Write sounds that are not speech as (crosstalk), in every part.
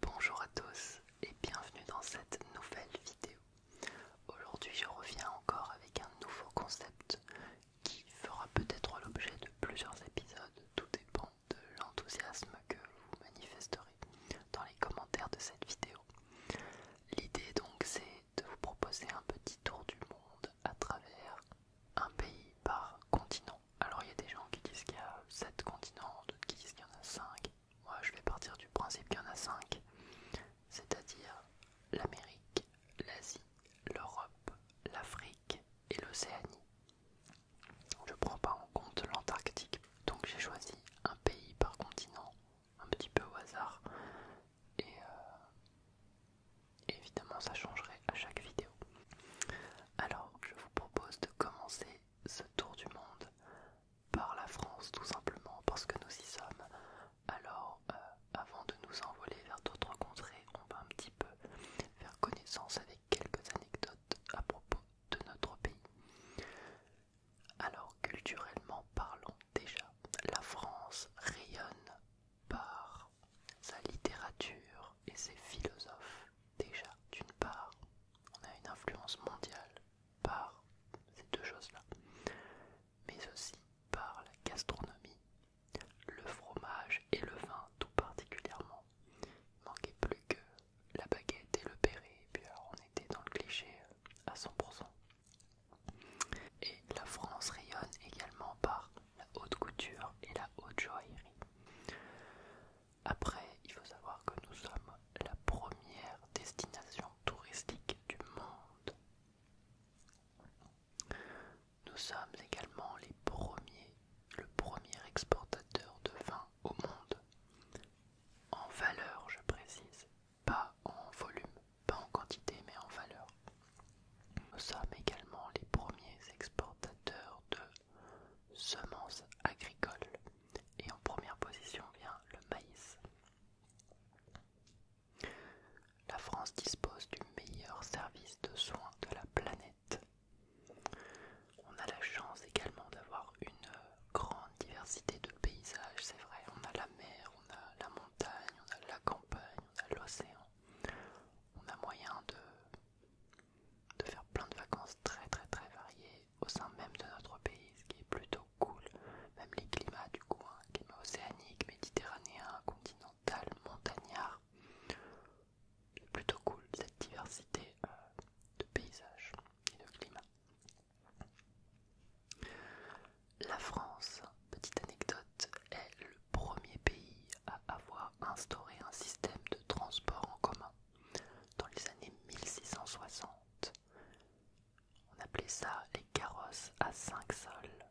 Bonjour à tous et bienvenue dans cette nouvelle vidéo. Aujourd'hui je reviens encore avec un nouveau concept qui fera peut-être l'objet de plusieurs épisodes, tout dépend de l'enthousiasme que vous manifesterez dans les commentaires de cette vidéo. L'idée donc c'est de vous proposer un petit tour du monde à travers un pays par continent alors il y a des gens qui disent qu'il y a 7 continents, d'autres qui disent qu'il y en a 5. Moi je vais partir du principe qu'il y en a 5, c'est-à-dire l'Amérique, l'Asie, l'Europe, l'Afrique et l'Océanie. Je ne prends pas en compte l'Antarctique, donc j'ai choisi un pays par continent, un petit peu au hasard. Et euh, évidemment ça changerait à chaque vidéo. Alors je vous propose de commencer ce tour du monde par la France tout simplement parce que nous y sommes. Alors euh, avant de nous envoler vers d'autres contrées, on va un petit peu faire connaissance avec quelques anecdotes à propos de notre pays. Alors culturellement parlant déjà, la France rayonne par sa littérature et ses philosophes. Déjà, d'une part, on a une influence mondiale par ces deux choses-là, mais aussi par la gastronomie, le fromage et le vin tout particulièrement. Il manquait plus que la baguette et le béret, et puis on était dans le cliché euh, à 100%. Et la France rayonne également par la haute couture et la haute joaillerie. Après, il faut savoir que nous sommes la première destination touristique du monde. Nous sommes également les premiers, le premier exportateur de vin au monde. En valeur, je précise, pas en volume, pas en quantité, mais en valeur. Nous sommes également les premiers exportateurs de semences agricoles. Et en première position vient le maïs. La France dispose du meilleur service de soins de la planète. On a la chance également d'avoir une grande diversité de paysages, c'est vrai. On a la mer, on a la montagne, on a la campagne, on a l'océan. On a moyen de de faire plein de vacances très très très variées au sein même de notre pays, ce qui est plutôt cool. Même les climats du coup, hein. climat océanique, méditerranéen, continental, montagnard, plutôt cool cette diversité euh, de paysages et de climats. La France, petite anecdote, est le premier pays à avoir instauré un système de transport en commun. Dans les années 1660, on appelait ça les carrosses à 5 sols.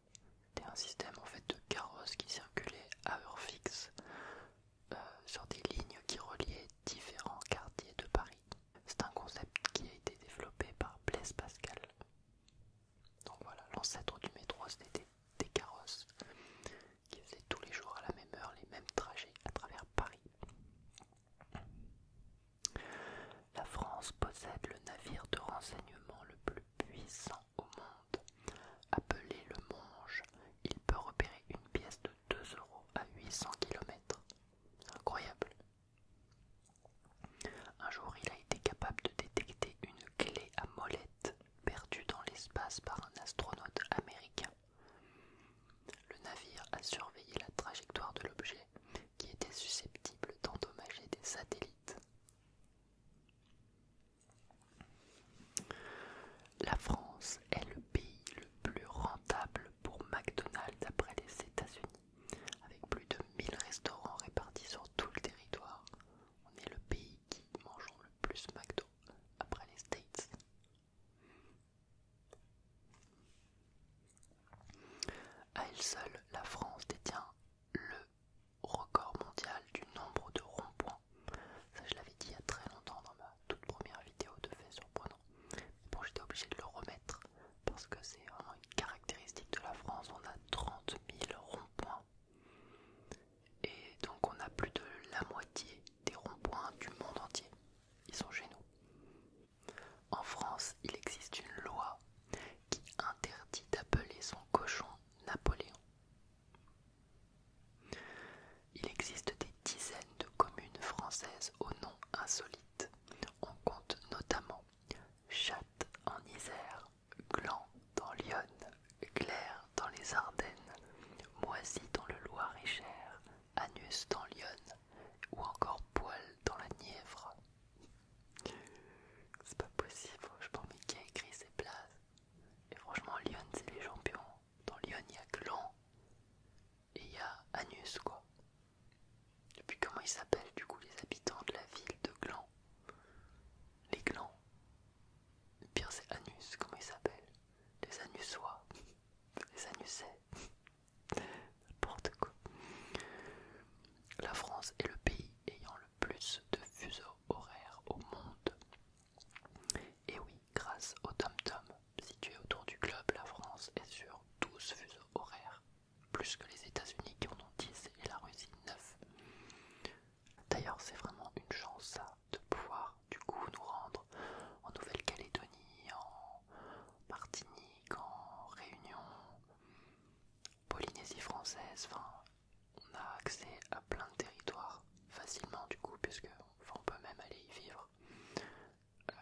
C'était un système en fait de carrosses qui circulaient à heure fixe euh, sur des lignes qui reliaient différents quartiers de Paris. C'est un concept qui a été développé par Blaise Pascal. Donc voilà, l'ancêtre du métro, c'était des carrosses qui faisait tous les jours à la même heure les mêmes trajets à travers Paris. La France possède le navire de renseignement le plus puissant au monde. Appelé le Monge, il peut repérer une pièce de 2 euros à 800 km. Incroyable. Un jour, il a été capable de détecter une clé à molette perdue dans l'espace par un astronaute américain. Le navire a surveillé la trajectoire de l'objet qui était susceptible d'endommager des satellites. La France est le pays le plus rentable pour McDonald's après les États-Unis, avec plus de 1000 restaurants répartis sur tout le territoire. On est le pays qui mange le plus McDo après les States, à elle seule, la France détient le record mondial du nombre de ronds-points. Ça, je l'avais dit il y a très longtemps dans ma toute première vidéo de fait surprenant. Bon, j'étais obligé de le remettre parce que c'est vraiment une caractéristique de la France. On a 30 000 ronds-points. Et donc, on a plus de la moitié des ronds-points du monde entier ils sont chez nous. En France, il existe une loi qui interdit d'appeler son cochon Napoléon. Il existe des dizaines de communes françaises au nom insolites. On compte notamment Chatte en Isère, Gland dans l'Yonne, Claire dans les Ardennes, Moisy dans le Loir-et-Cher, Anus dans Lyon, ou encore Poil dans la Nièvre. C'est pas possible, je pense, mais qui a écrit ces places Et franchement, Lyon, c'est les champions. Dans Lyon, il y a Gland, et il y a Anus, quoi. Et puis comment ils s'appellent, du coup, les habitants de la ville de Gland Les Glands. Le pire, c'est Anus, comment ils s'appellent les anussois, les anusets, n'importe quoi. La France est le pays ayant le plus de fuseaux horaires au monde. Et oui, grâce au TomTom situé autour du globe, la France est sur 12 fuseaux horaires, plus que les États-Unis qui en ont 10 et la Russie 9. D'ailleurs, c'est vraiment une chance ça, de pouvoir du coup nous rendre en Nouvelle-Calédonie, en Martinique, en Réunion, Polynésie française, enfin on a accès à plein de territoires facilement du coup puisque on peut même aller y vivre euh,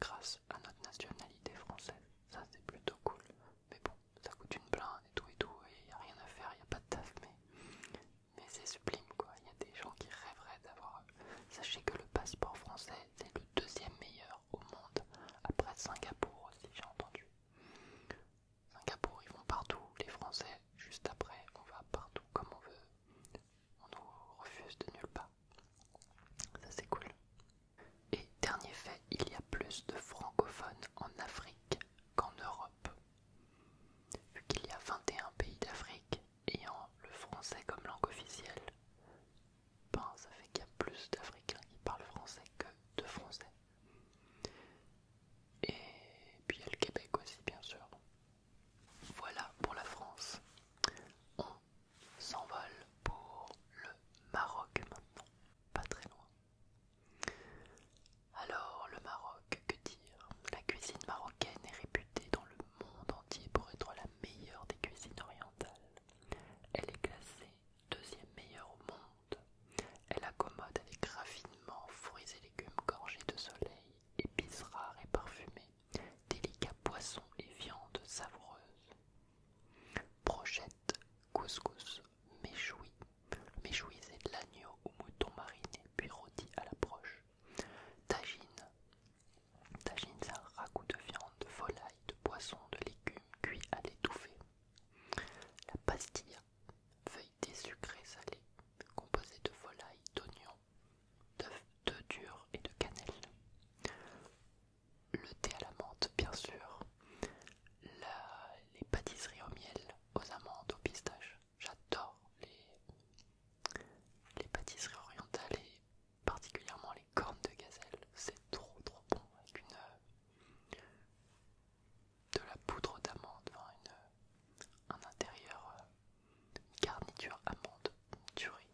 grâce à notre nationalité française, ça c'est plutôt cool, mais bon ça coûte une blinde et tout et tout et y a rien à faire, il y a pas de taf mais mais c'est sublime quoi. Il y a des gens qui rêveraient d'avoir. Sachez que le passeport français c'est le deuxième meilleur au monde après Singapour aussi j'ai entendu. Singapour ils vont partout, les Français juste après on va partout comme on veut, on nous refuse de nulle part. Ça c'est cool. Et dernier fait, il y a plus de francophones en Afrique qu'en Europe. Vu qu'il y a 21 pays d'Afrique ayant le français comme langue officielle, ben, ça fait qu'il y a plus d'Africains qui parlent français que de français. Et puis il y a le Québec aussi bien sûr. Voilà pour la France. On s'envole pour le Maroc maintenant, pas très loin. Alors, le Maroc, que dire La cuisine marocaine est réputée dans le monde entier pour être la meilleure des cuisines orientales. Elle est classée deuxième meilleure au monde. Elle accommode avec raffinement fruits et légumes gorgés de soleil, épices rares et parfumées, délicats poissons et viandes savoureuses. projettes couscous, méchoui. Méchoui, de l'agneau ou mouton mariné puis rôti à l'approche. Tagine. Tagine, c'est un ragoût de viande, de volaille, de poisson, de légumes cuits à l'étouffée. La pastilla, de sucré salée, composée de volaille, d'oignon, d'œufs, durs et de cannelle. Le thé à la menthe, bien sûr. Les pâtisseries au miel, aux amandes, aux pistaches. J'adore les, pâtisseries orientales et particulièrement les cornes de gazelle. C'est trop trop bon avec euh, de la poudre d'amande, dans une, euh, un intérieur, euh, garniture amande durée.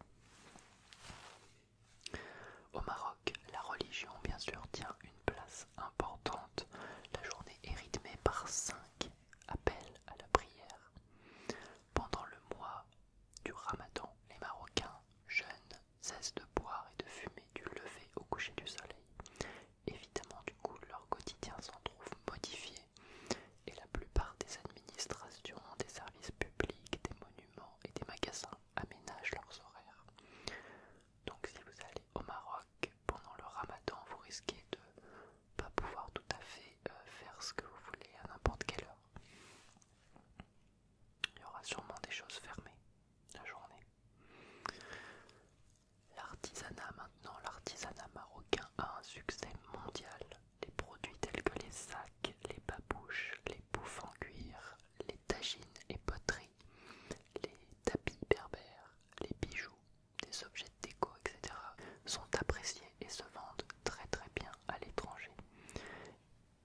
Au Maroc, la religion bien sûr tient une place importante. La journée est rythmée par cinq appels à la prière pendant le mois du ramadan, les Marocains jeunes cessent de boire et de fumer du lever au coucher du soleil. Évidemment, du coup, leur quotidien s'en trouve modifié et la plupart des administrations, des services publics, des monuments et des magasins aménagent leurs horaires. Donc si vous allez au Maroc pendant le ramadan, vous risquez de pas pouvoir tout à fait euh, faire ce que vous voulez à n'importe quelle heure. Il y aura sûrement des choses fermées la journée. L'artisanat maintenant, l'artisanat marocain a un succès mondial. Les produits tels que les sacs, les babouches, les bouffes en cuir, les tagines et poteries, les tapis berbères, les bijoux, des objets de déco, etc., sont appréciés et se vendent très très bien à l'étranger.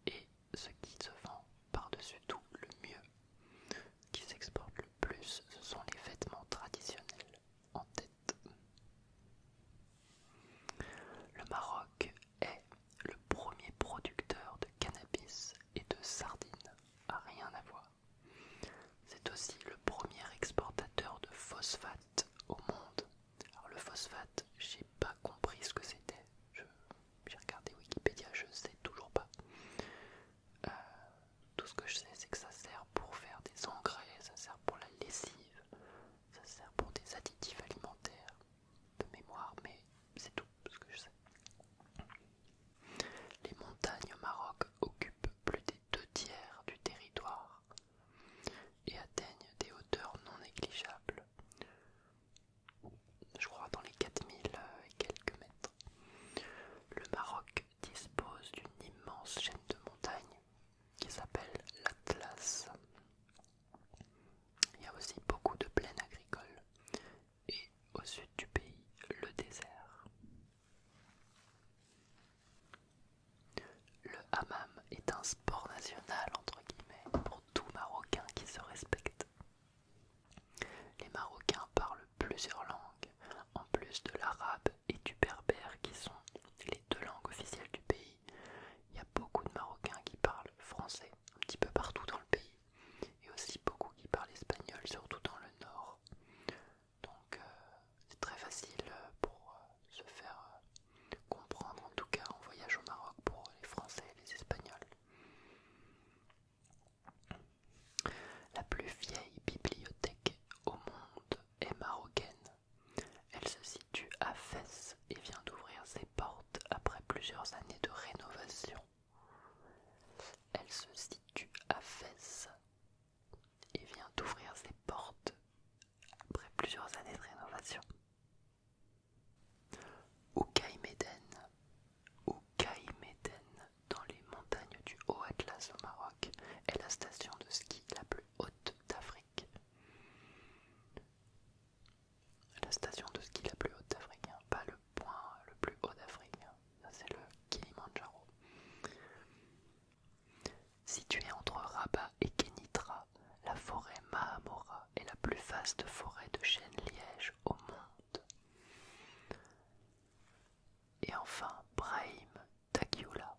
Et ce qui se vend par-dessus tout le mieux, qui s'exporte le plus, ce sont les vêtements traditionnels en tête. Le Maroc est le premier producteur de cannabis et de sardines, à rien à voir. C'est aussi le premier exportateur de phosphate au monde. Alors le phosphate, j'ai pas compris ce que c'était. J'ai regardé Wikipédia, je sais toujours pas. Euh, tout ce que je sais, c'est que ça sert pour faire des engrais, ça sert pour la lessive, ça sert pour des additifs alimentaires de mémoire, mais c'est tout ce que je sais. Les montagnes au Maroc occupent plus des deux tiers du territoire et atteignent des hauteurs non négligeables, je crois dans les 4000 euh, et quelques mètres. Le Maroc dispose d'une immense chaîne de montagnes qui s'appelle l'Atlas. Il y a aussi beaucoup de plaines agricoles et au sud du pays le désert. Le hammam est un sport national entre guillemets pour tout Marocain qui se respecte. Les Marocains parlent plusieurs langues, en plus de l'arabe et du berbère qui sont les deux langues officielles du pays. Il y a beaucoup de Marocains qui parlent français un petit peu partout dans le pays, et aussi beaucoup qui parlent espagnol, surtout dans le nord. Donc euh, c'est très facile euh, pour euh, se faire comprendre, en tout cas en voyage au Maroc pour les Français et les Espagnols. La plus vieille bibliothèque au monde est marocaine. Elle se situe à Fès et vient d'ouvrir ses portes après plusieurs années de rénovation. Elle se situe à Fès, il vient d'ouvrir ses portes après plusieurs années de rénovation. Au Meden. au dans les montagnes du Haut Atlas au Maroc, est la station de ski la plus haute d'Afrique. La station de ski la plus haute d'Afrique, hein. pas le point le plus haut d'Afrique, hein. c'est le Kilimandjaro. Située entre Rabat et Kenitra, la forêt Mahamora est la plus vaste forêt de chêne-liège au monde. Et enfin, Brahim Takiula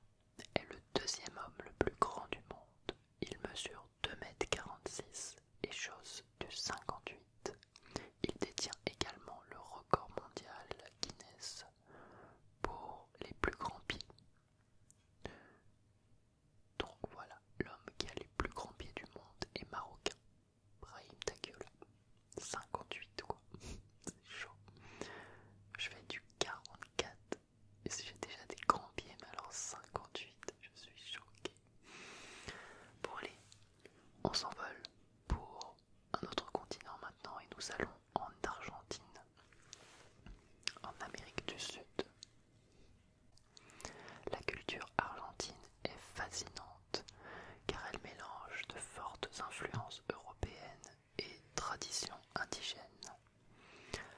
est le deuxième homme le plus grand du monde. Il mesure 2,46 m et chausse du 58. Il détient également le record mondial Guinness pour les plus grands pieds. Donc voilà, l'homme qui a les plus grands pieds du monde est marocain. Brahim gueule, 58 quoi. (laughs) C'est chaud. Je fais du 44. Et si j'ai déjà des grands pieds, mais alors 58, je suis choqué. Bon allez, on s'envole pour un autre continent maintenant et nous allons en Argentine en Amérique du Sud. La culture argentine est fascinante car elle mélange de fortes influences européennes et traditions indigènes.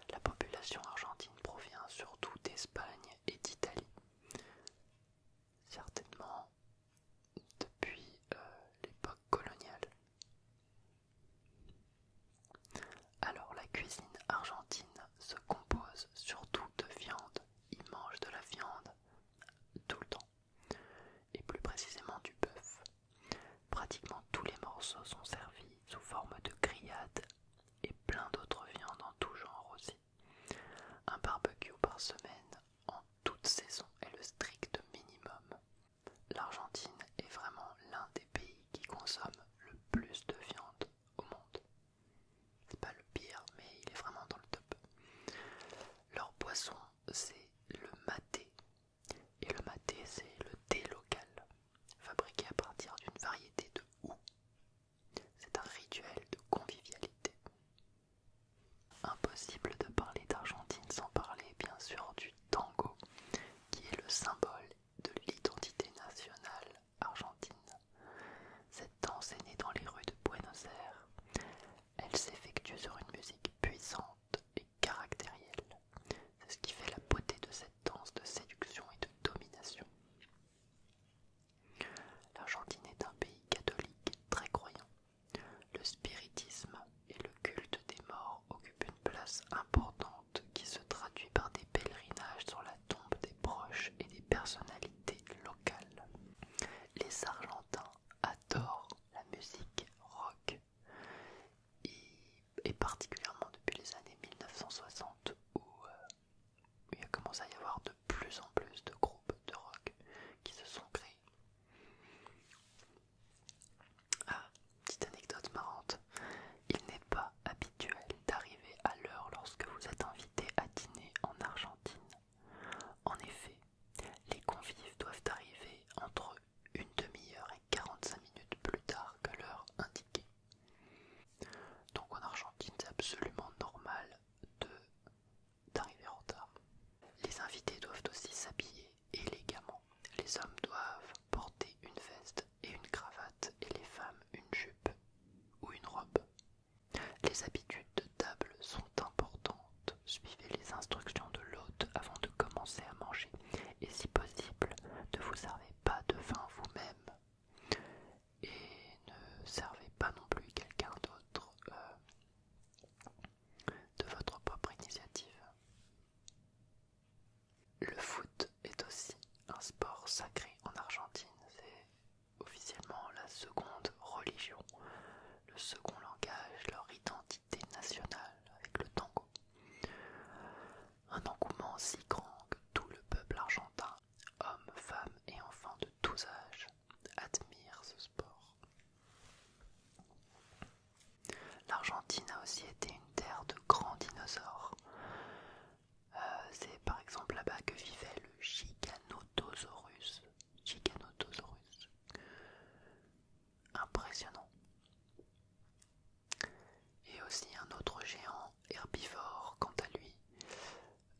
La population argentine provient surtout d'Espagne et d'Italie. Certainement depuis euh, l'époque coloniale. Alors la cuisine argentine se compose surtout de viande. Ils mangent de la viande tout le temps, et plus précisément du bœuf. Pratiquement tous les morceaux sont servis sous forme de grillades et plein d'autres viandes en tout genre aussi. Un barbecue par semaine en toute saison est le strict minimum. L'Argentine est vraiment l'un des pays qui consomme le plus de viande au monde. C'est pas le pire, mais il est vraiment dans le top. Leur boisson, c'est le maté. Et le maté, c'est le thé local, fabriqué à partir d'une variété de hou. C'est un rituel de convivialité. Impossible de parler d'Argentine sans parler, bien sûr, du tango, qui est le symbole de l'identité nationale argentine. Cette danse est née dans les rues de Buenos Aires. Elle s'effectue sur une musique puissante et caractérielle. C'est ce qui fait la beauté de cette danse de séduction et de domination. L'Argentine est un pays catholique très croyant. Le spiritisme et le culte des morts occupe une place importante qui se traduit par des pèlerinages sur la tombe des proches et des personnalités locales. Les Argentins adorent la musique rock et, particulièrement depuis les années 1960 où euh, il a commencé à y avoir de plus en plus de groupes de rock qui se sont créés. Ah, petite anecdote marrante, il n'est pas habituel d'arriver à l'heure lorsque vous êtes invité à dîner en Argentine. En effet, les convives doivent arriver entre une demi-heure et 45 minutes plus tard que l'heure indiquée. Donc en Argentine, c'est absolument normal de d'arriver en retard. Les invités doivent aussi s'habiller élégamment. Les hommes doivent porter une veste et une cravate et les femmes une jupe ou une robe. Les habitudes de table sont importantes. Suivez les instructions de l'hôte avant de commencer à manger et si possible ne vous servez pas de vin vous-même et ne servez pas non plus quelqu'un d'autre euh, de votre propre initiative. Le foot est aussi un sport sacré en Argentine. C'est officiellement la seconde religion, le second langage, leur identité nationale avec le tango. Un engouement si grand que tout le peuple argentin, hommes, femmes et enfants de tous âges, admire ce sport. L'Argentine a aussi été une terre de grands dinosaures. Euh, c'est par exemple là-bas que vivait le Giganotosaurus. Impressionnant. Et aussi un autre géant herbivore, quant à lui,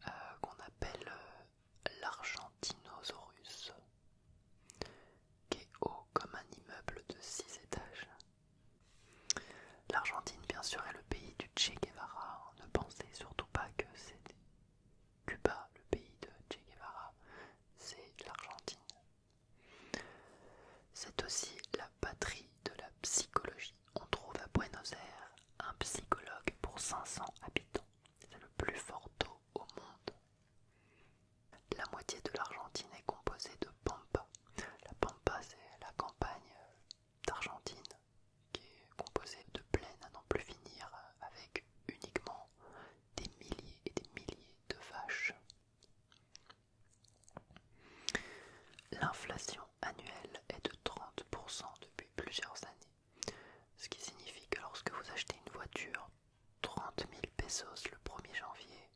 euh, qu'on appelle euh, l'Argentinosaurus qui est haut comme un immeuble de 6 étages. L'Argentine, bien sûr, est le pays du Che Guevara. Ne pensez surtout pas que c'est Cuba, le pays de Che Guevara, c'est l'Argentine. C'est aussi la patrie de la psychologie. On trouve à Buenos Aires un psychologue pour 500 habitants. C'est le plus fort taux au monde. La moitié de l'Argentine est composée de pampa. La pampa, c'est la campagne euh, d'Argentine qui est composée de plaines à n'en plus finir euh, avec uniquement des milliers et des milliers de vaches. L'inflation annuelle est de 30% depuis plusieurs années, ce qui signifie que lorsque vous achetez une voiture, 30 000 pesos le 1er janvier,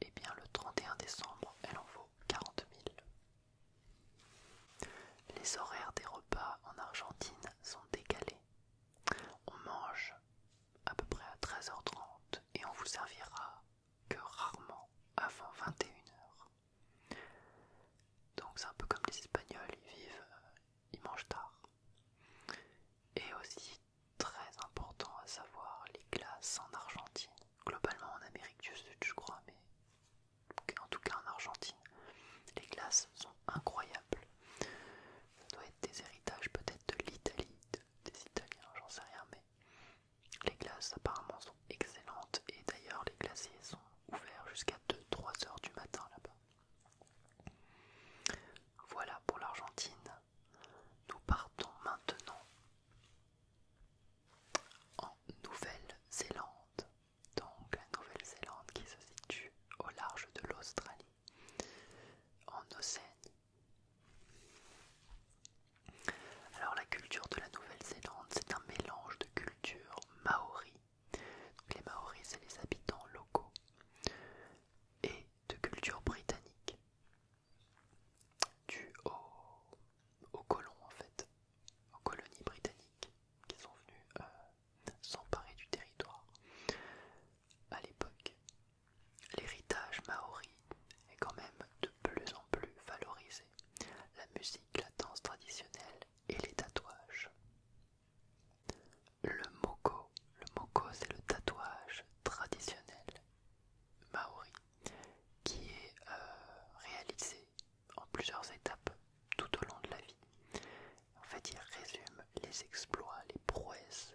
eh bien le 31 décembre, elle en vaut 40 000. Les horaires des repas en Argentine sont décalés. On mange à peu près à 13h30 et on vous servira que rarement avant 21h. Donc c'est un peu comme les Espagnols, ils vivent, euh, ils mangent tard. Et aussi très important à savoir les glaces en Argentine, globalement en Amérique du Sud je crois, mais en tout cas en Argentine, les glaces sont incroyables. Ça doit être des héritages peut-être de l'Italie, des Italiens, j'en sais rien, mais les glaces apparemment sont excellentes et d'ailleurs les glaciers sont ouverts jusqu'à 2-3 heures du matin là-bas. Voilà pour l'Argentine. Nous partons maintenant en Nouvelle-Zélande. Donc la Nouvelle-Zélande qui se situe au large de l'Australie, en Océanie. Alors la culture de la Nouvelle-Zélande, c'est un mélange de culture maori. Donc, les maoris, c'est les habitants locaux et de culture britannique dû aux, aux colons en fait, aux colonies britanniques qui sont venues euh, s'emparer du territoire. À l'époque, l'héritage maori est quand même de plus en plus valorisé. La musique, la danse traditionnelle et les tatouages. Le moko, le moko c'est le tatouage traditionnel maori qui est euh, réalisé en plusieurs étapes tout au long de la vie. En fait, il résume les exploits, les prouesses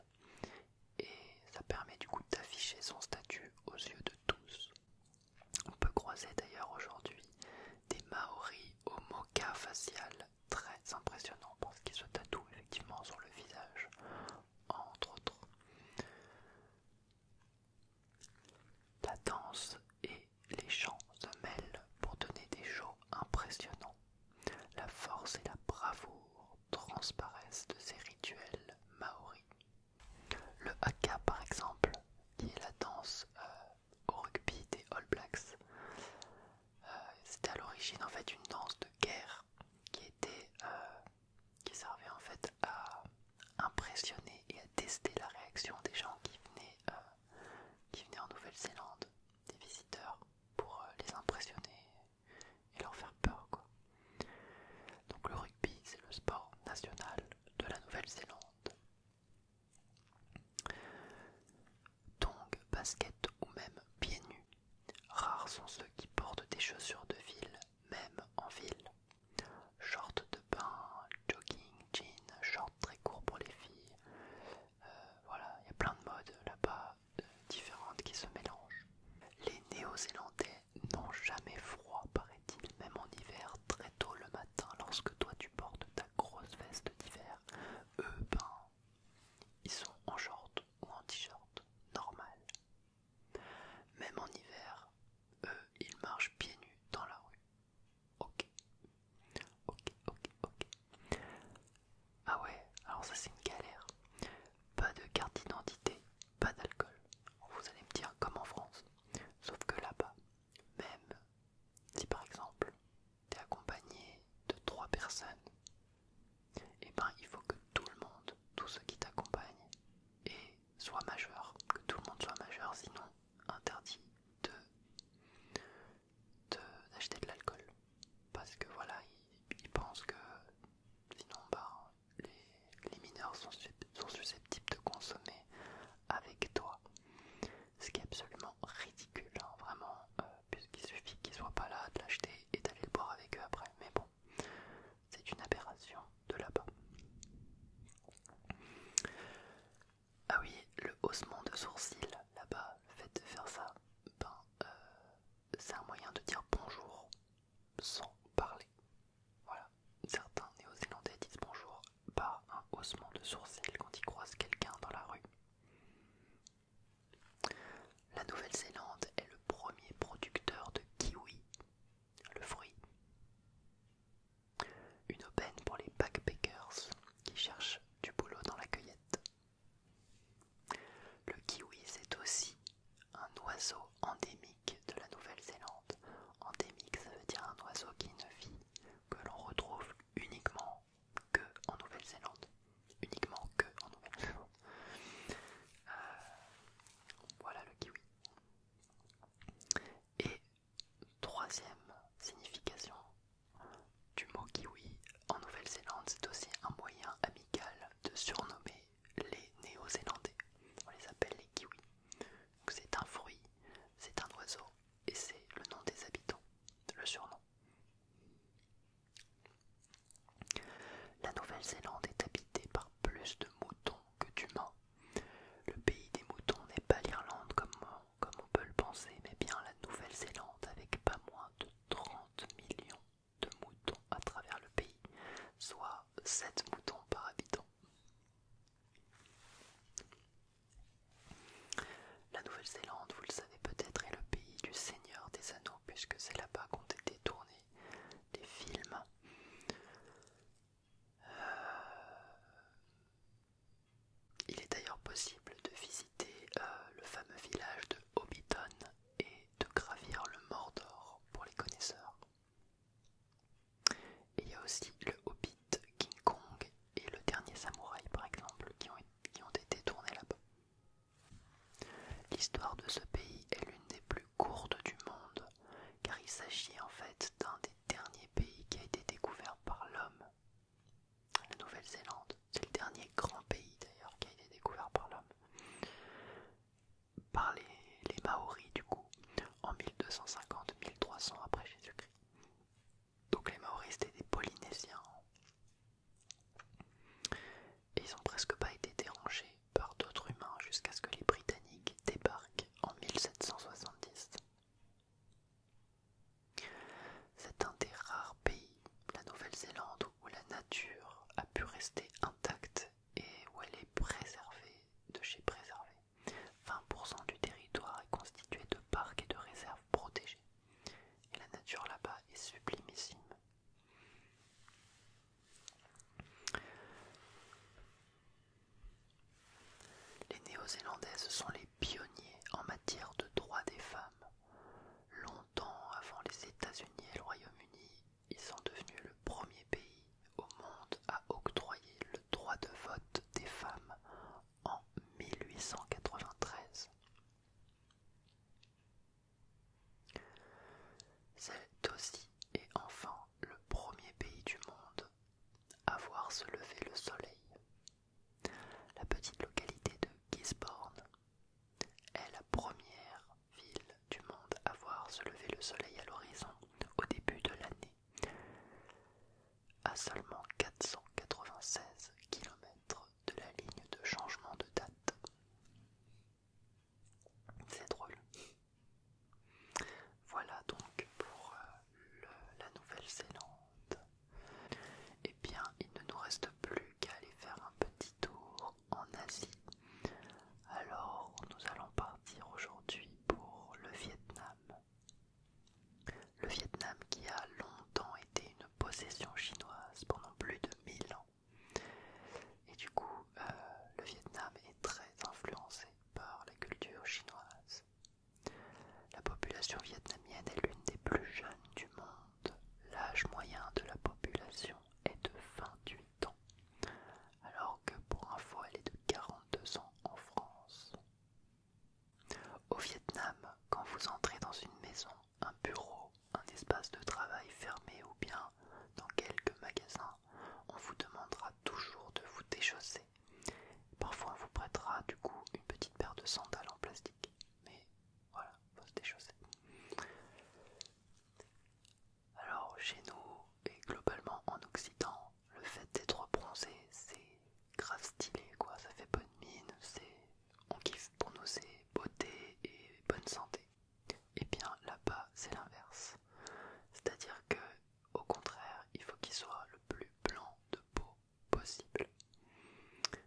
et ça permet du coup d'afficher son statut aux yeux de tous. On peut croiser d'ailleurs aujourd'hui des maoris au mocha facial très impressionnant parce qu'ils se tatouent effectivement sur le visage entre autres. La danse et les chants se mêlent pour donner des shows impressionnants. La force et la bravoure transparaissent de ces rituels maoris. Le haka, par exemple, qui est la danse euh, au rugby des All Blacks, euh, c'est à l'origine en fait une danse de guerre qui était euh, qui servait en fait à impressionner et à tester la réaction des gens qui venaient, euh, qui en Nouvelle-Zélande, des visiteurs, pour euh, les impressionner et leur faire peur Donc le rugby c'est le sport national de la Nouvelle-Zélande. Donc basket ou même pieds nus Rares sont ceux qui portent des chaussures de ville, même en ville. Shorts de bain, jogging, jeans, shorts très courts pour les filles. Euh, voilà, il y a plein de modes là-bas euh, différentes qui se mélangent. Les Néo-Zélandais n'ont jamais froid, paraît-il, même en hiver, très tôt le matin, lorsque toi tu portes ta grosse veste d'hiver. Eux, ben, ils sont en short ou en t-shirt, normal. Même en hiver, eux, ils marchent pieds nus dans la rue. Ok. Ok, ok, ok. Ah ouais, alors ça c'est une galère. Pas de carte d'identité, pas d'alcool. Vous allez me dire comme en France. Sauf que là-bas, même si par exemple, t'es accompagné de trois personnes, et eh ben il faut que tout le monde, tous ceux qui t'accompagnent, soient majeurs. que tout le monde soit majeur, sinon interdit de d'acheter de, l'alcool. Parce que voilà, ils pensent que sinon ben, les, mineurs sont, susceptibles de consommer avec toi. Ce qui est absolument ridicule, hein, vraiment, euh, puisqu'il suffit qu'ils soient pas là de l'acheter et d'aller le boire avec eux après. Mais c'est une aberration de là-bas. Ah oui, le haussement de sourcils là-bas, le fait de faire ça, ben, euh, c'est un moyen de dire bonjour sans parler. Voilà, certains néo-zélandais disent bonjour par un haussement de sourcils quand ils croisent quelqu'un dans la rue. La Nouvelle-Zélande est le premier producteur de kiwi, le fruit. Une aubaine pour les backpackers qui cherchent du boulot dans la cueillette. Le kiwi, c'est aussi un oiseau endémique de la Nouvelle-Zélande. Endémique, ça veut dire un oiseau qui ne vit, que l'on retrouve uniquement que en Nouvelle-Zélande uniquement que en Nouvelle-Zélande. Euh, voilà le kiwi. Et troisième signification du mot kiwi en Nouvelle-Zélande, c'est aussi un moyen amical de surnommer les Néo-Zélandais. On les appelle les kiwis. C'est un fruit, c'est un oiseau et c'est le nom des habitants, le surnom. La Nouvelle-Zélande est habitée par plus de moutons que d'humains. Le pays des moutons n'est pas l'Irlande comme, on peut le penser, mais bien la Nouvelle-Zélande avec pas moins de 30 millions de moutons à travers le pays, soit 7 moutons par habitant. La Nouvelle-Zélande, vous le savez peut-être, est le pays du Seigneur des Anneaux, puisque c'est là-bas qu'ont été tournés des, films. Euh, il est d'ailleurs possible de visiter euh, le fameux village de Hobbiton et de gravir le Mordor pour les connaisseurs. il y a aussi le Hobbit, King Kong et le dernier samouraï par exemple qui ont été tournés là-bas. L'histoire de ce pays est l'une des plus courtes du monde, car il s'agit en fait d'un des derniers pays qui a été découvert par l'homme. La Nouvelle-Zélande, c'est le dernier grand pays d'ailleurs qui a été découvert par l'homme, par les, Maoris du coup, en 1250-1300 après Jésus-Christ. Donc les Maoris étaient des Polynésiens et ils n'ont presque pas été dérangés par d'autres humains jusqu'à ce que les Britanniques débarquent en 1770. C'est un des rares pays, la Nouvelle-Zélande, où la nature a pu rester intacte et où elle est préservée de chez préservée. 20% du territoire est constitué de parcs et de réserves protégées. Et la nature là-bas est sublimissime. Les Néo-Zélandaises sont les pionniers en matière de droits des femmes. Longtemps avant les États-Unis et le Royaume-Uni, ils sont devenus le premier pays au monde à octroyer le droit de vote des femmes en 1893. C'est aussi et enfin le premier pays du monde à voir se lever le soleil. La petite localité de Gisborne est la première ville du monde à voir se lever le soleil à l'horizon au début de l'année, à seulement 496 km de la ligne de changement de date. C'est drôle. Voilà donc pour euh, la Nouvelle-Zélande. Eh bien, il ne nous reste plus qu'à aller faire un petit tour en Asie. Alors, nous allons partir aujourd'hui pour le Vietnam. Le Vietnam qui a longtemps été une possession chinoise pendant plus de 1000 ans. Et du coup, euh, le Vietnam est très influencé par la culture chinoise. La population vietnamienne est l'une des plus jeunes du monde. L'âge moyen de la population est de 28 ans, alors que pour info, elle est de 42 ans en France. Au Vietnam, quand vous entrez dans une maison, un bureau un espace de travail fermé ou bien dans quelques magasins, on vous demandera toujours de vous déchausser. Parfois on vous prêtera du coup une petite paire de sandales en plastique. Mais voilà, faut se déchausser. Alors chez nous et globalement en Occident, le fait d'être bronzé, c'est grave stylé quoi, ça fait bonne mine, c'est on kiffe pour nous c'est beauté et bonne santé. Et eh bien là-bas c'est l'inverse. C'est-à-dire que au contraire il faut qu'il soit le plus blanc de peau possible.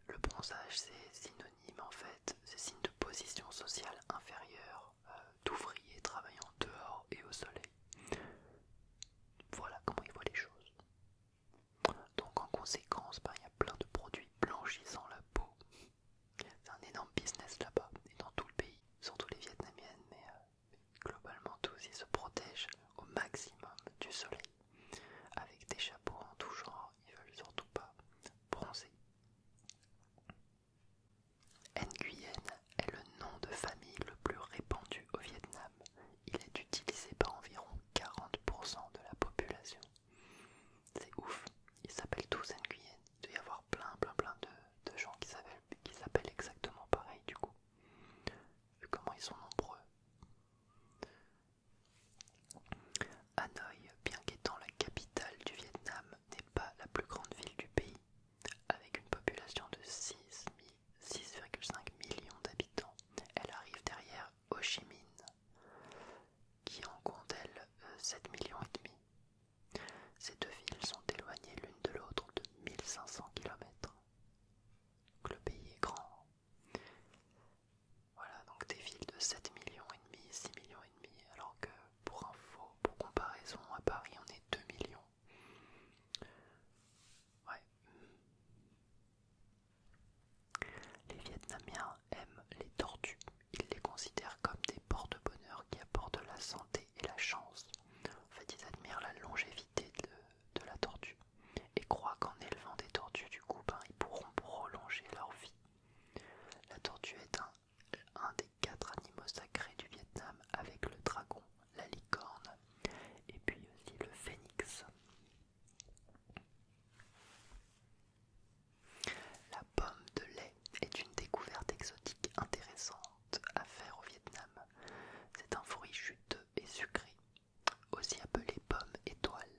Le bronzage c'est synonyme en fait, c'est signe de position sociale inférieure, euh, d'ouvriers travaillant dehors et au soleil. Voilà comment il voit les choses. Donc en conséquence, ben, il y a plein de produits blanchissant la peau c'est un énorme business là-bas et dans tout le pays, surtout les vietnamiennes, mais euh, globalement tous ils se protègent au maximum du soleil avec des chapeaux en tout genre, ils veulent surtout pas bronzer. Nguyen est le nom de famille le plus répandu au Vietnam. Il est utilisé par environ 40% de la population. C'est ouf. Ils s'appellent tous Nguyen. Il doit y avoir plein, plein, plein de, gens qui s'appellent exactement pareil du coup. comment ils sont nombreux. Hanoi, bien qu'étant la capitale du Vietnam, n'est pas la plus grande ville du pays, avec une population de 6,5 millions d'habitants. Elle arrive derrière Ho Chi Minh, qui en compte elle 7 euh, millions et demi. Ces deux villes sont éloignées l'une de l'autre de 1500 km. le pays est grand. Voilà, donc des villes de 7 millions et demi, 6 millions et demi, alors que pour info, pour comparaison, à Paris on est 2 millions. Ouais. Les Vietnamiens les tortues. Ils les considèrent comme des de bonheur qui apportent la santé et la chance. En fait, ils admirent la longévité de, la tortue et croient qu'en élevant des tortues, du coup, ben, ils pourront prolonger leur vie. La tortue est un des quatre animaux sacrés du Vietnam avec le dragon, la licorne et puis aussi le phénix. La pomme de lait est une découverte exotique intéressante à faire au Vietnam. C'est un fruit juteux et sucré, aussi appelé pomme étoile.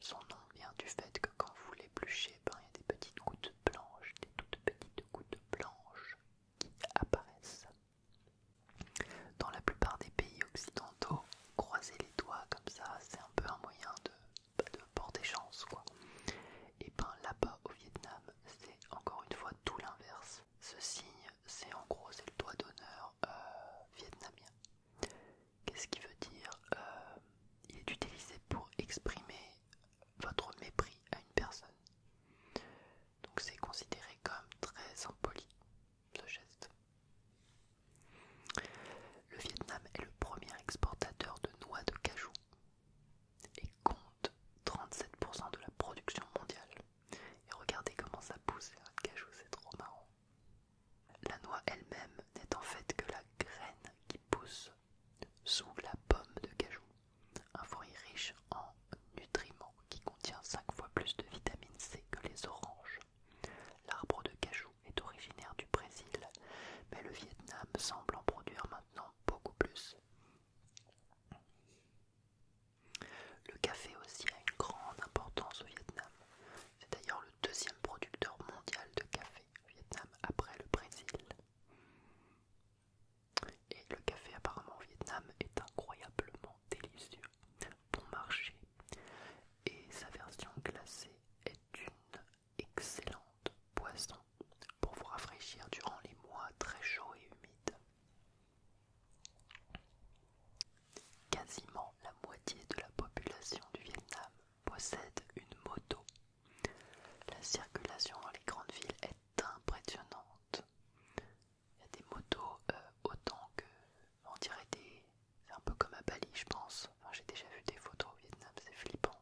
Son nom vient du fait que quand vous l'épluchez, ben, il y a des petites gouttes blanches, des toutes petites gouttes blanches qui apparaissent. Dans la plupart des pays occidentaux, croiser les doigts comme ça, c'est un peu un moyen de de porter chance quoi. Et eh ben là-bas au Vietnam, c'est encore une fois tout l'inverse. Ce signe, c'est en gros c'est le doigt d'honneur euh, vietnamien. Qu'est-ce qui veut dire euh, Il est utilisé pour exprimer votre mépris à une personne. Donc c'est considéré comme très impoli ce geste. Le Vietnam est le premier exportateur de noix de cajou et compte 37% de la production mondiale. Et regardez comment ça pousse le cajou, c'est trop marrant. La noix elle-même n'est en fait que la graine qui pousse sous la pomme de cajou, un fruit riche en nutriments qui contient 5 fois plus de vitamine C que les oranges. L'arbre de cajou est originaire du Brésil, mais le Vietnam semble en produire maintenant beaucoup plus. Le café aussi a une grande importance au Vietnam. C'est d'ailleurs le deuxième producteur mondial de café au Vietnam après le Brésil. Et le café apparemment au Vietnam est incroyablement délicieux, bon marché. Et sa version glacée est une excellente boisson pour vous rafraîchir durant les mois très chauds et humides. Quasiment la moitié de la population du Vietnam possède une moto. La circulation dans les grandes villes est impressionnante. Il y a des motos euh, autant que on dirait des. C'est un peu comme à Bali, je pense. j'ai déjà vu des photos au Vietnam, c'est flippant.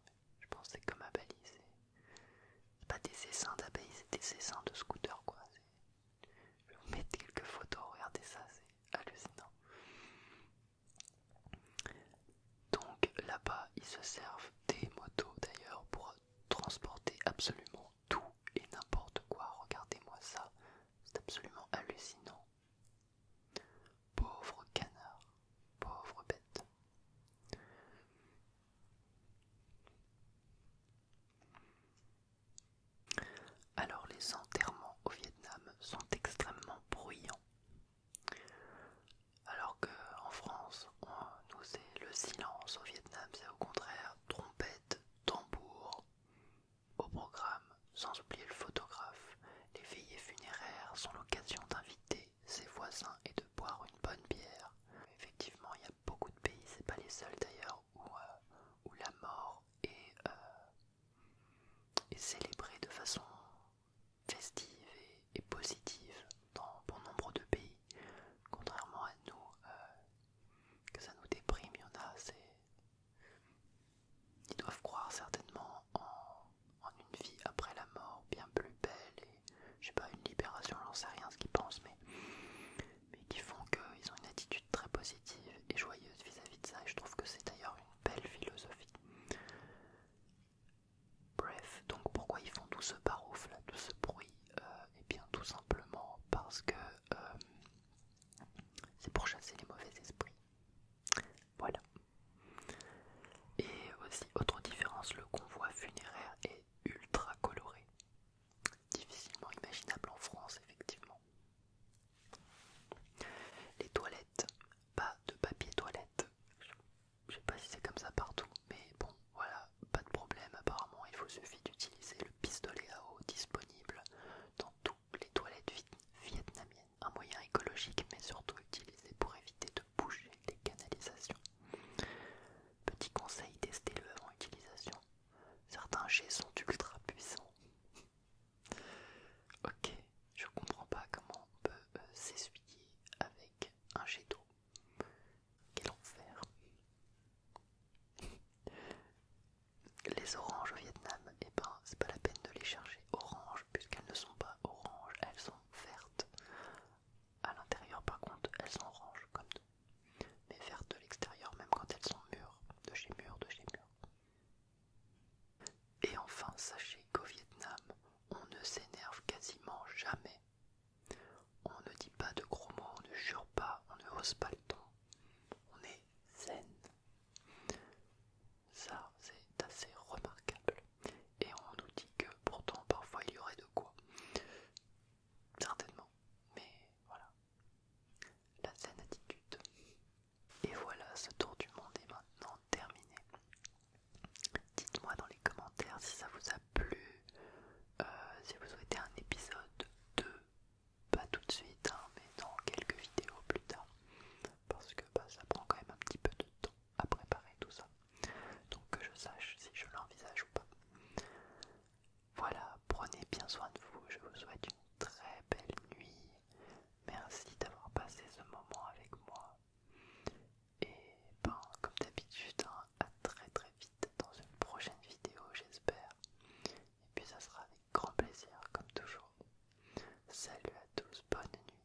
Je pensais que comme à c'est pas des essaims d'abeilles, c'est des essaims de scooters quoi. Je vais vous mettre quelques photos, regardez ça, c'est hallucinant. Donc là-bas, ils se servent des motos d'ailleurs pour transporter absolument tout et n'importe quoi. Regardez-moi ça, c'est absolument hallucinant. Pauvre canard, pauvre bête. Alors les enterrements au Vietnam sont extrêmement bruyants. Alors qu'en France, on, nous est le silence au Vietnam, c'est au contraire trompette, tambour au programme, sans oublier le photographe. Les veillées funéraires sont l'occasion d'inviter ses voisins et de boire une bonne bière. Effectivement, il y a beaucoup de pays, c'est pas les seuls d'ailleurs, où, euh, la mort euh, est, célébrée de façon festive et, positive dans bon nombre de pays. Contrairement à nous, euh, que ça nous déprime, il y en a, assez. Ils doivent croire certainement en en une vie après la mort bien plus belle et je sais pas une libération, j'en sais rien ce qu'ils pensent, mais, mais qui font qu'ils ont une attitude très positive et joyeuse vis-à-vis de ça et je trouve que c'est d'ailleurs une belle philosophie. Bref, donc pourquoi ils font tout ce barouf là, tout ce bruit Et euh, eh bien tout simplement parce que euh, c'est pour chasser les mauvais esprits. Voilà. Et aussi, autre différence, le convoi funéraire est ultra coloré. Difficilement imaginable en France, effectivement. Les toilettes, pas de papier toilette. Je sais pas si c'est comme ça partout, mais bon, voilà, pas de problème. Apparemment, il vous suffit d'utiliser le pistolet à eau disponible dans toutes les toilettes vietnamiennes un moyen écologique mais surtout utilisé pour éviter de bouger les canalisations. Petit conseil, testez-le avant utilisation. Certains jets sont ultra puissants. (laughs) Ok, je comprends pas comment on peut euh, s'essuyer avec un jet d'eau. Quel enfer! (laughs) Les oranges au Vietnam, et eh ben c'est pas la peine de les chercher. Orange, puisqu'elles ne sont pas oranges, elles sont vertes. À l'intérieur, par contre, elles sont oranges comme nous, mais vertes de l'extérieur, même quand elles sont mûres, de chez mûres, de chez mûres. Et enfin, sachez qu'au Vietnam, on ne s'énerve quasiment jamais. On ne dit pas de gros mots, on ne jure pas, on ne hausse pas le ton. On est zen. Ça, c'est assez remarquable. Et on nous dit que pourtant, parfois, il y aurait de quoi. Certainement. Mais voilà. La saine attitude. Et voilà, ce tour du monde est maintenant terminé. Dites-moi dans les commentaires si ça vous a plu, euh, si vous souhaitez un épisode 2, pas tout de suite, hein, mais dans quelques vidéos plus tard, parce que bah, ça prend quand même un petit peu de temps à préparer tout ça. Donc que je sache si je l'envisage ou pas. Voilà, prenez bien soin de vous, je vous souhaite une très belle nuit. Merci d'avoir passé ce moment avec moi. Et ben, comme d'habitude, hein, à très très vite dans une prochaine vidéo, j'espère. Et puis ça sera avec grand plaisir, comme toujours. Salut à tous, bonne nuit.